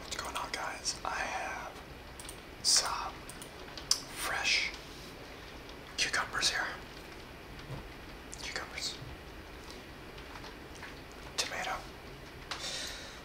What's going on, guys? I have some fresh cucumbers here. Cucumbers. Tomato.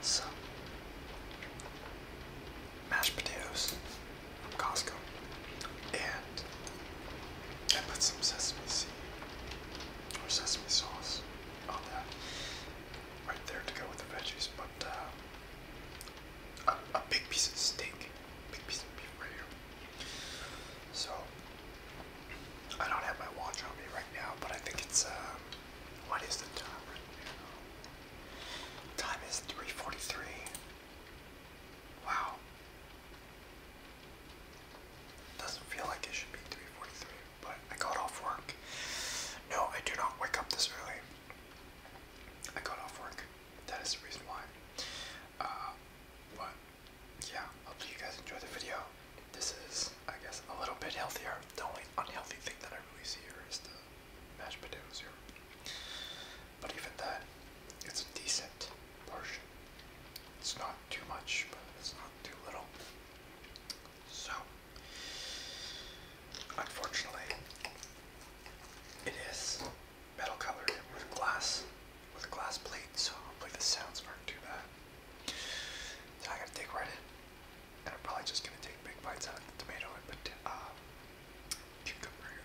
Some mashed potatoes from Costco. And I put some sesame seed or sesame sauce right there to go with the veggies, but uh, a, a big piece of steak, big piece of beef right here. So I don't have my watch on me right now, but I think it's uh, what is the time right now? Time is three forty-three. Wow. Doesn't feel like it should be 343 but I got off work. No, I do not wake up this early. I got off work. That is the reason why. Uh, but yeah, hopefully you guys enjoy the video. This is, I guess, a little bit healthier. The only unhealthy thing that I really see here is the mashed potatoes here. But even that, it's a decent portion. It's not too much, but it's not too little. So, unfortunately, it is metal colored with glass, with glass plate, so I hopefully the sounds aren't too bad. Now I gotta dig right in, and I'm probably just gonna take big bites out of the tomato and put uh, cucumber here.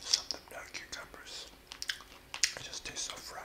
Something about cucumbers. It just tastes so fresh.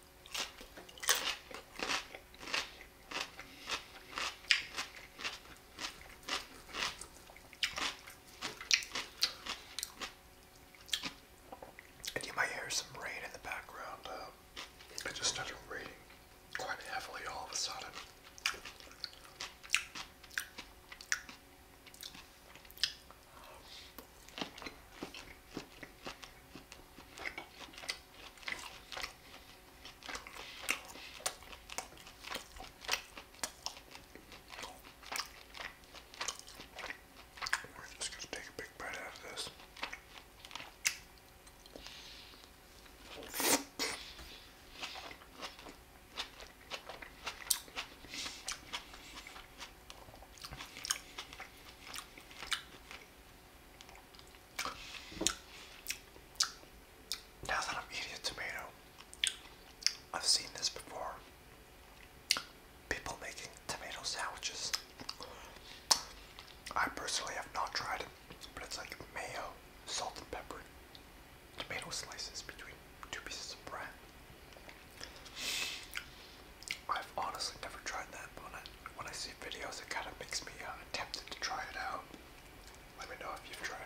And you might hear some rain in the background. Uh, just started raining quite heavily all of a sudden. We're just going to take a big bite out of this. Now that I'm eating a tomato, I've seen this before. People making tomato sandwiches. I personally have not tried it, but it's like mayo, salt and pepper, tomato slices between two pieces of bread. I've honestly never tried that, but when I, see videos, it kind of makes me uh, tempted to try it out. Let me know if you've tried it.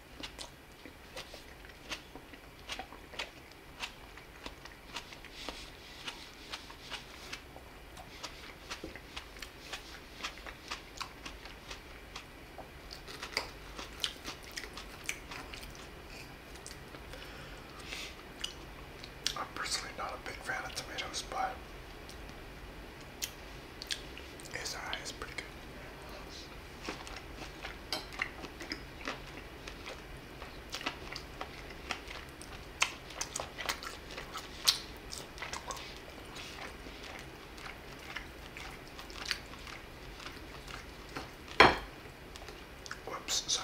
I'm personally not a big fan of tomatoes, but his pretty good. Oops. sorry.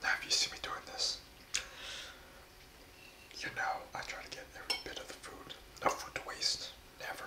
Now you see me doing this, you know I try to get every bit of the food, no food to waste, never.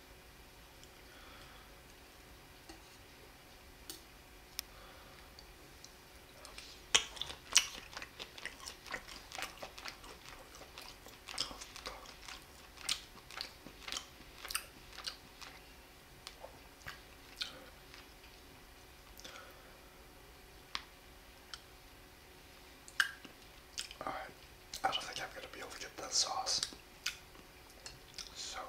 Alright, I don't think I'm going to be able to get that sauce. So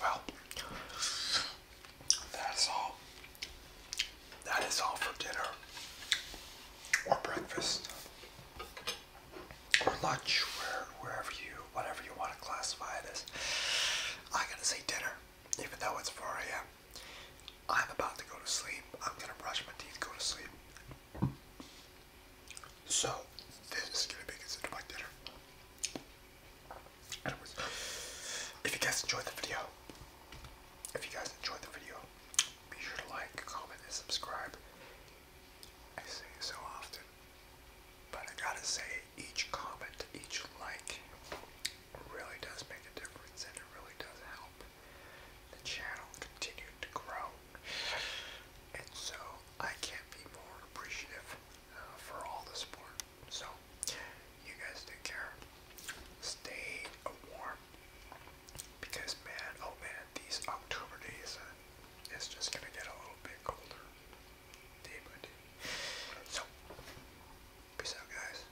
well, that's all. That is all for dinner, or breakfast, or lunch, where, wherever you, whatever you want to classify it as. I going to say dinner, even though it's 4 a.m. I'm about to go to sleep. I'm gonna brush my teeth, go to sleep. So, this is gonna be considered my dinner. Anyways, if you guys enjoyed the video, if you guys enjoyed the video, be sure to like, comment, and subscribe. I say so often, but I gotta say, each comment, each like, really does make a difference, and it really does help the channel continue to grow. And so I can't be more appreciative for all the sport. So, you guys take care. Stay warm. Because, man, oh man, these October days, uh, it's just gonna get a little bit colder day by day. So, peace out, guys.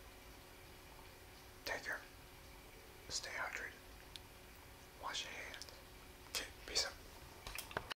Take care. Stay hydrated. Wash your hands. Okay, peace out.